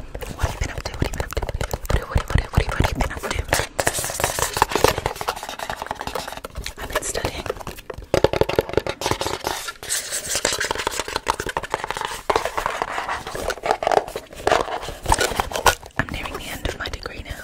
What have you been up to? What have you been up to? What have you, been up to? I've been studying. I'm nearing the end of my degree now.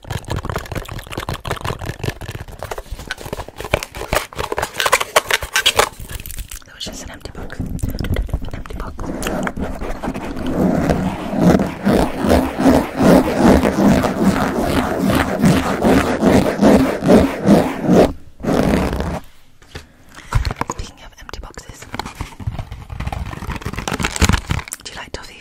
It was just an empty box. An empty box. Speaking of empty boxes, do you like toffee?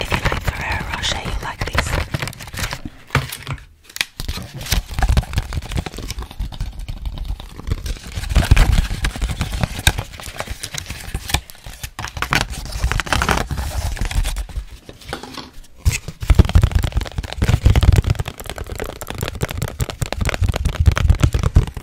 If you like Ferrero Rocher, you like these.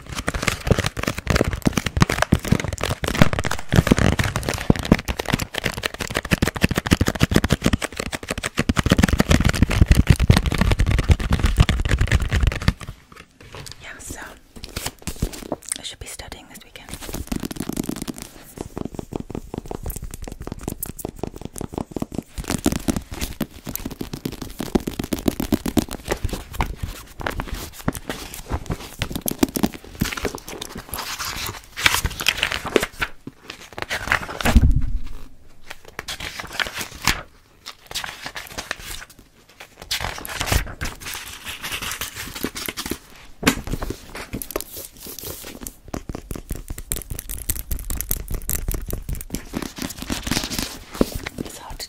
Yeah, so I should be studying this weekend. It's hard to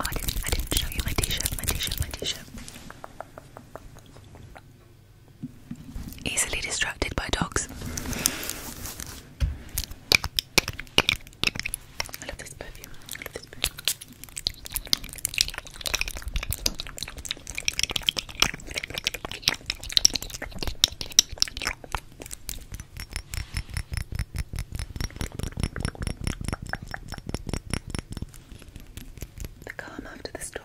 Oh, I didn't, show you my t-shirt, my t-shirt, my t-shirt. Easily distracted by dogs. I love this perfume. The calm after the storm.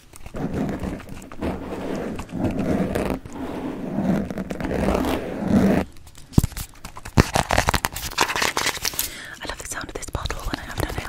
I love the sound of this bottle when I have no nails.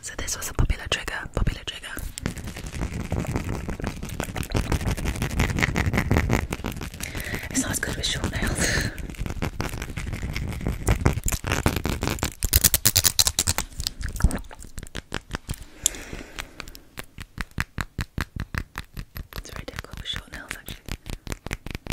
So this was a popular trigger, popular trigger. It sounds good with short nails. It's very difficult with short nails actually.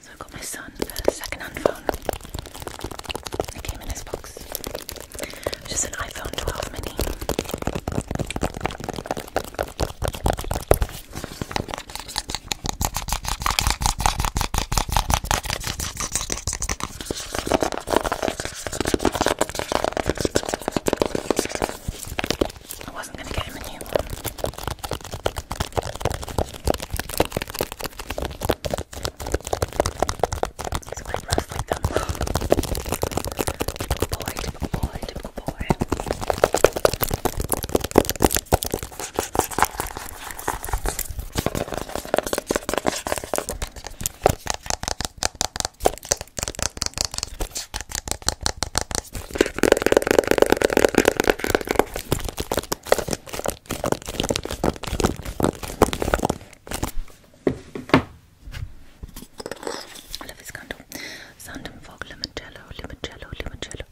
So I got my son a second-hand phone. It came in his box. Just an iPhone 12 mini. I wasn't gonna get him a new one. He's quite rough like them. boy, boy, boy. Leviscanto, Sandenfog, Limoncello, Limoncello, Limoncello.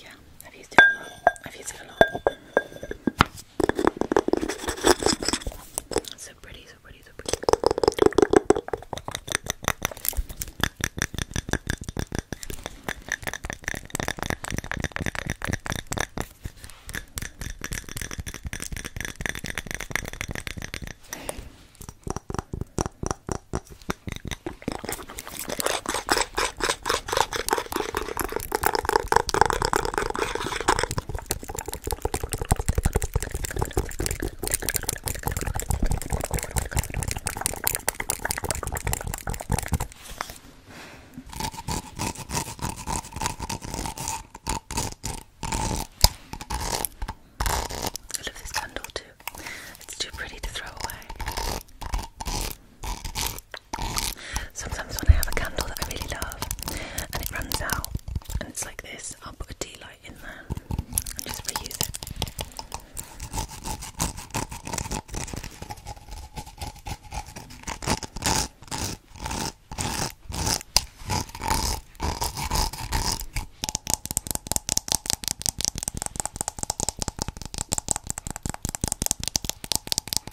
Yeah, I've used it a lot. I've used it a lot. So pretty, so pretty, so pretty. I love this candle too. It's too pretty to throw away. Sometimes when I have a candle that I really love and it runs out and it's like this, I'll put a tea light in there and just reuse it.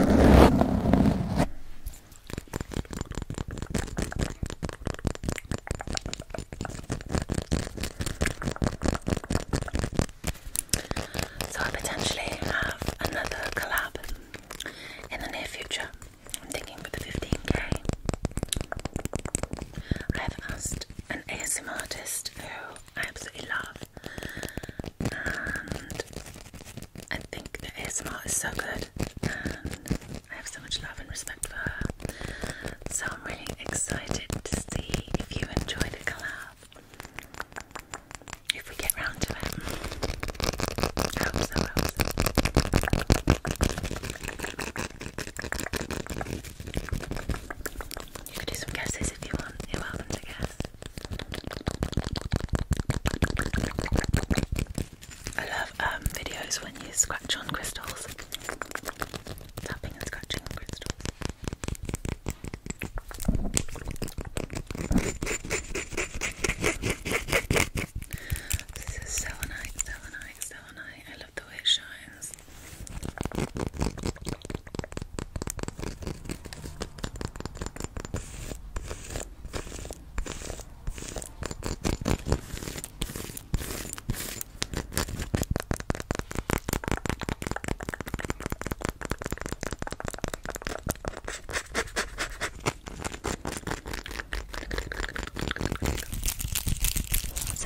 So I potentially have another collab in the near future. I'm thinking for the 15k. I've asked an ASM artist who I absolutely love. And I think the ASMR is so good, and I have so much love and respect for her. So I'm really excited to see if you enjoy the collab. If we get round to it, You could do some guesses if you want. You're welcome to guess. I love um, videos when you scratch on crystals. Tapping and scratching on crystals. This is selenite, selenite, selenite. I love the way it shines. So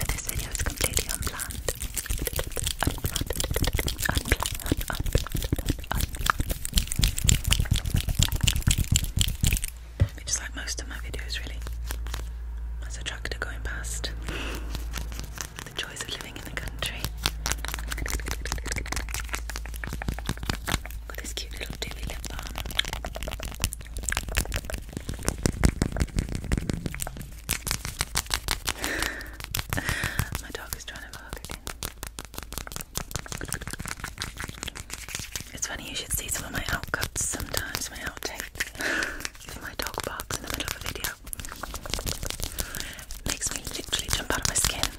this video is completely unplanned. Which is like most of my videos, really. There's a tractor going past. The joys of living in the country. Got this cute little doobie lip balm. My dog is trying to bark again. It's funny, you should see some of my outcuts sometimes, my outtakes. my dog barks in the middle of a video, makes me literally jump out of my skin.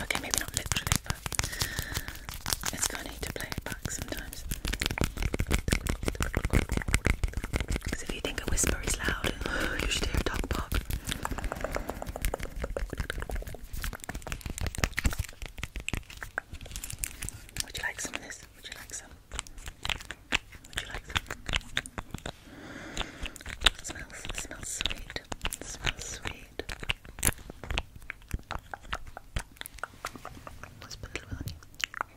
Okay, maybe not literally, but it's funny to play it back sometimes. Because if you think a whisper is loud, you should hear a dog bark. Would you like some of this? Would you like some? Would you like some? It smells, smells sweet. It smells sweet. Let's put a little on you.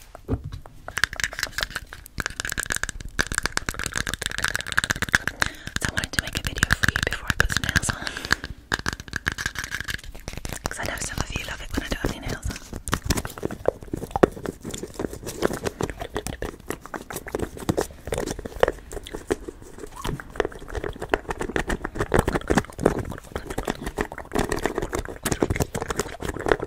So I wanted to make a video for you before I put some nails on. Because I know some of you love it when I don't have nails on.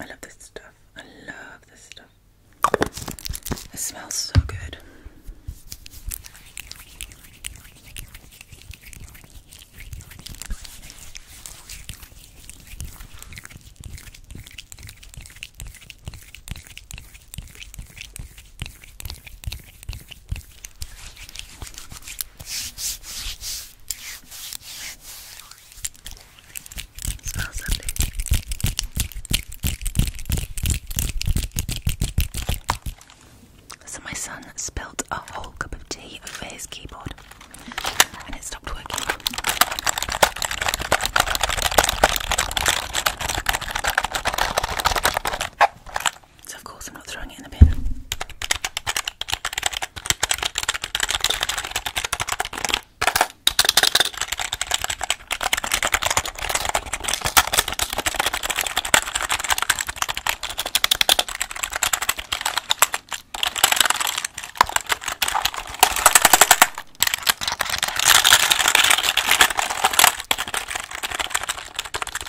I love this stuff. I love this stuff. It smells so good. So my son spilled a whole cup of tea over his keyboard and it stopped working. So, of course, I'm not throwing it in the bin.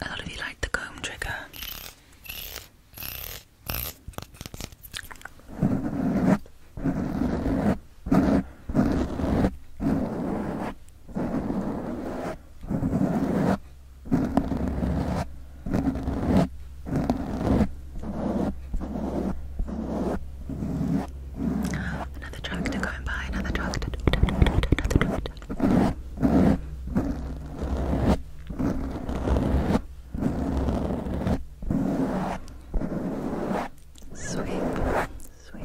A lot of you like the comb trigger. Another truck to go and buy, another truck to do, another to Sweep, sweep.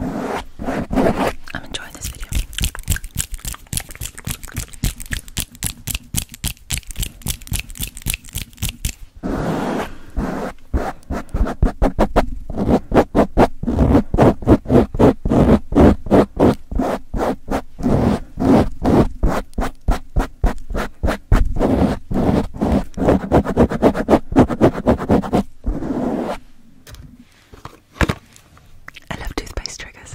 I'm enjoying this video. I love toothpaste triggers.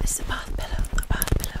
This is a bath pillow, a bath pillow.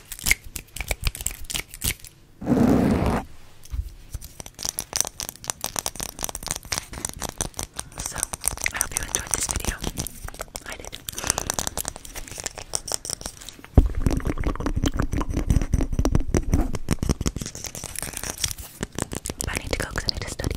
So, I hope you enjoyed this video. I did. I need to go because I need to study.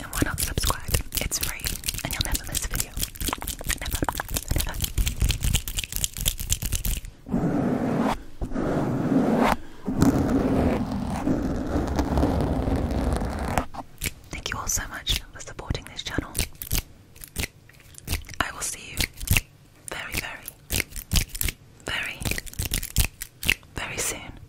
And why not subscribe? It's free and you'll never miss a video. Thank you all so much for supporting this channel. I will see you very, very, very, very soon.